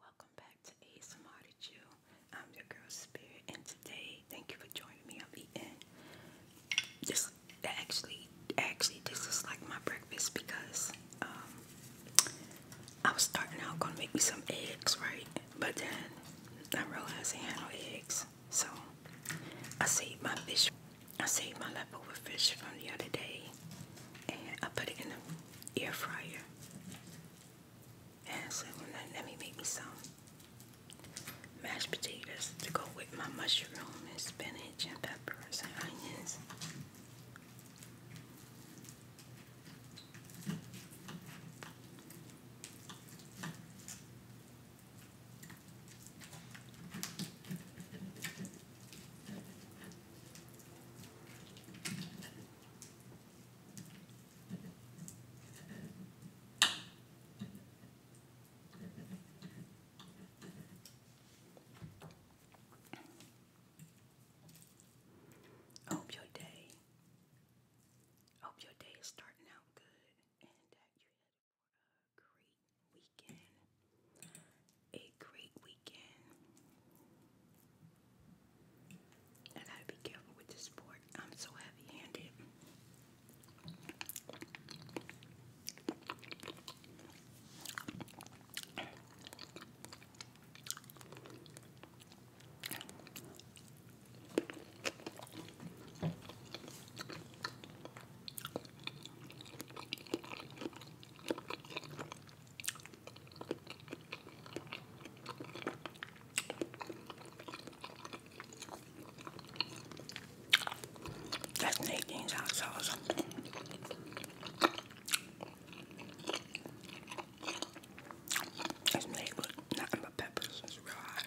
Welcome back to ASMR I'm your girl Spirit, and today, thank you for joining me. I'm eating. This actually, actually, this is like my breakfast because um, I was starting out gonna make me some eggs, right? But then I realized I had no eggs, so I saved my fish. I saved my leftover fish from the other day, and I put it in the air fryer. And I said, well, let me make me some mashed potatoes to go with my mushroom and spinach and peppers and onions. Hope your day. Hope your day is starting out good and that you had a great weekend a great weekend. And I be careful with this fork. I'm so heavy-handed. That's Nadine's hot sauce. It's made with nothing but peppers. It's real hot.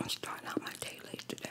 I'm starting out my day late today.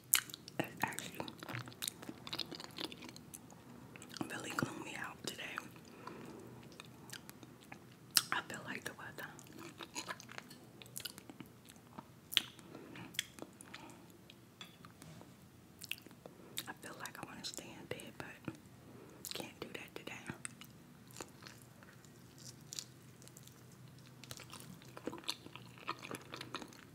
actually really gloomed out today. I feel like the weather. I feel like I want to stay in bed, but can't do that today.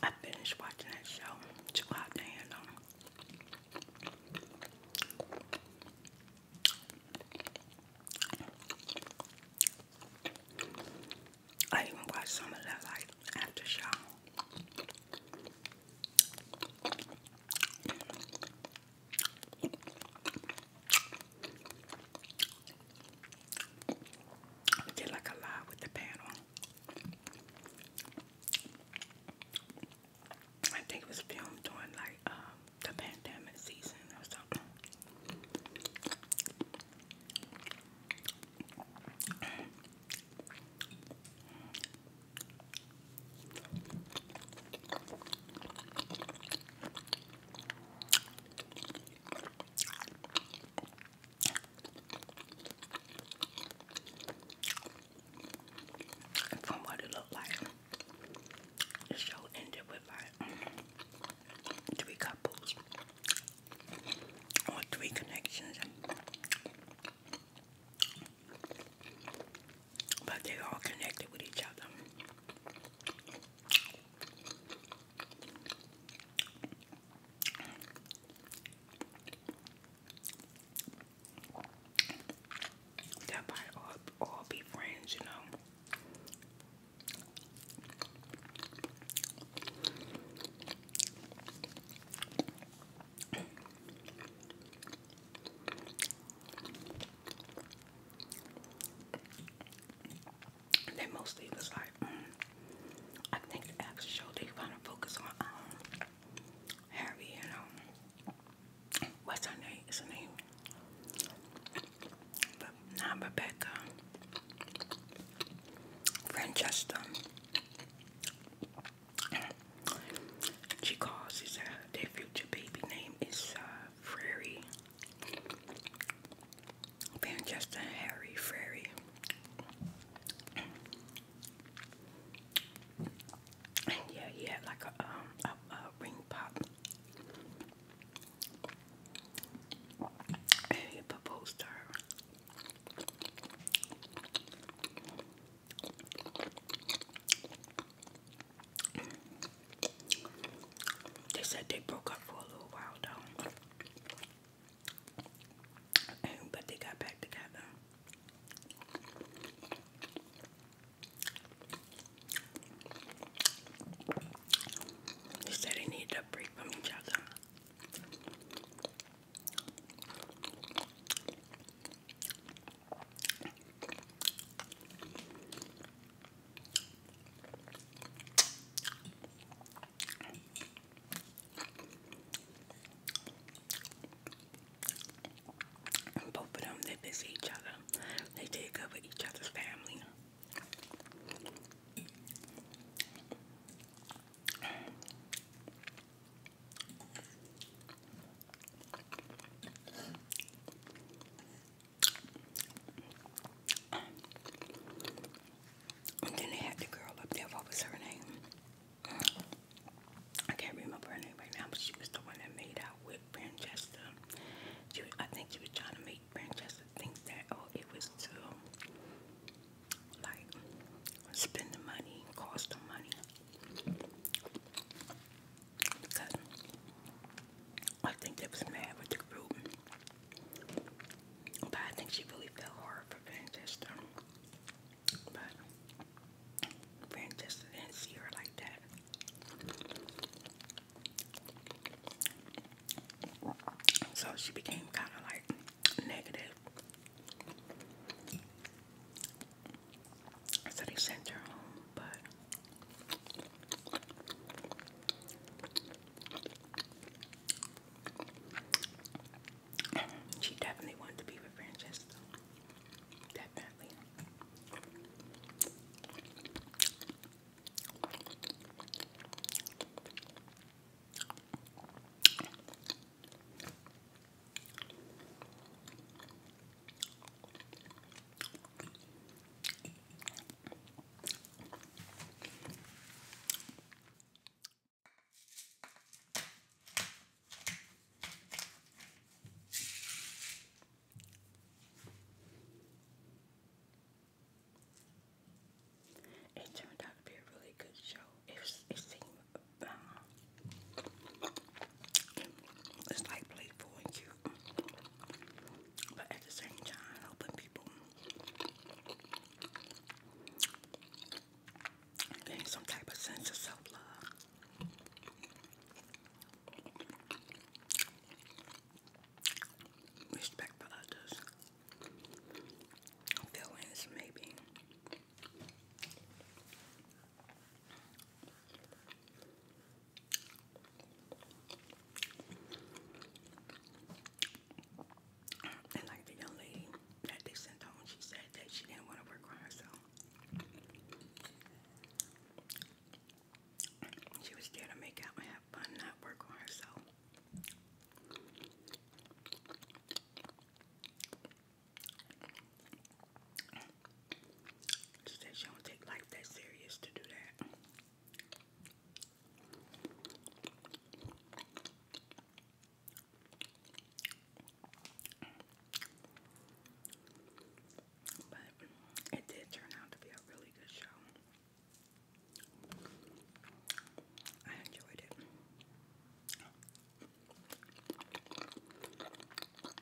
I finished watching that show. Too hot to I even watched some of that like after show did like a lot with the panel. I think it was filmed during like um, the pandemic season or something. And from what it looked like, the show ended with like three couples or three connections but they're all connected with each other. That might all be friends, you know. They mostly was like, mm, I think the show they want to focus on um, Harry and um, what's her name? Is her name? But Rebecca, Francesca, she calls his, their future baby name is uh, Frary. Harry Frary. And yeah, he had like a, um, a, ring pop. And he proposed her. They said they broke up for a little while though. But they got back together. They said they needed a break from each other. And both them, they visit each other. They take good with each other's family. And then they had the girl up there. What was her name? I can't remember her name right now, but she was the one that made out with Francesca. She, I think she was trying to make Francesca think that, oh, it was to, like, spend the money, cost the money because I think they was mad with the group. But I think she really felt hard for Francesca. But Francesca didn't see her like that. So she became kind of like negative. So they sent her home, but she definitely wanted to be with Francesco. Definitely. It turned out to be a really good show. It, seemed uh, it's like playful and cute. But at the same time, helping people gain some type of sense of self love. Respect for others. Feelings, maybe. And like the young lady that they sent home, she said that she didn't want to work on herself. She was there to make out and have fun, not work on herself. She don't take life that serious to do that. But it did turn out to be a really good show. I enjoyed it.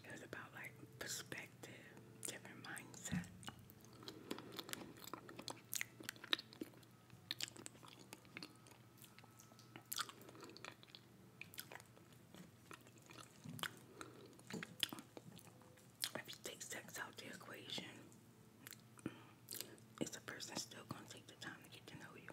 It was about like perspective, different mindset. If you take sex out the equation, is the person still gonna take the time to get to know you?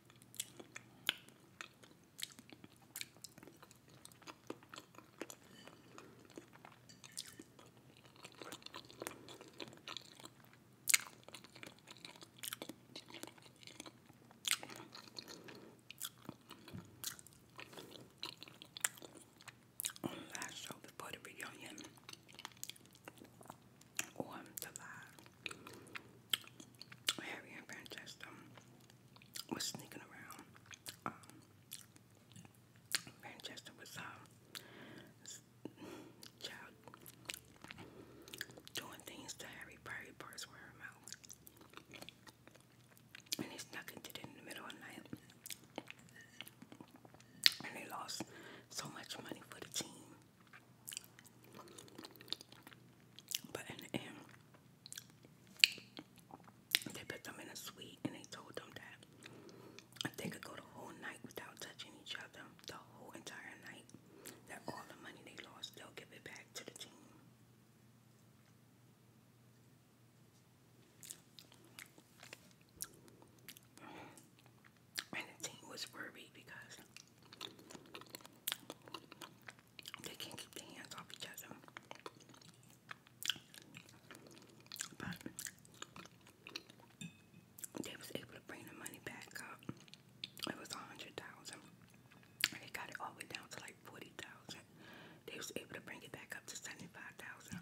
On the last show before the reunion, or the live, Harry and Francesca was sneaking around. Um, Francesca was uh, doing things to Harry, probably parts were And they snuck into it in the middle of night. And they lost so much money for the team. But in they put them in a suite and they told them that they could go the whole night without touching each other, the whole entire night. That all the money they lost, they'll give it back to the team. And the team was worried because they can't keep their hands off each other. But they was able to bring the money back up. It was a hundred thousand. They got it all the way down to like forty thousand. They was able to bring it back up to seventy-five thousand.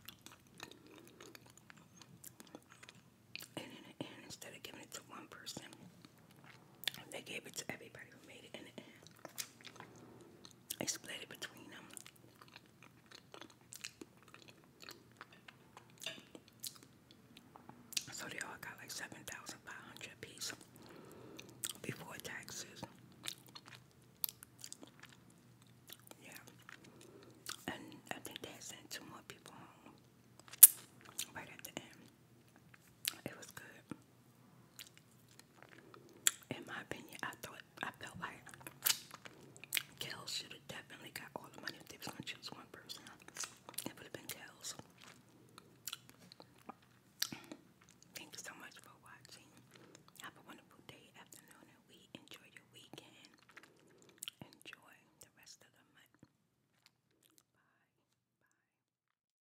And in the end, instead of giving it to one person, they gave it to everybody who made it in the end. They split it between them. So they all got like 7500 a piece before taxes. Yeah. And I think they sent two more people home right at the end. It was good in my opinion, I thought I felt like Kels should have definitely got all the money if they was going one person. It would have been Kels. Thank you so much for watching. Have a wonderful day, afternoon, and we enjoy your weekend. Enjoy the rest of the month. Bye. Bye.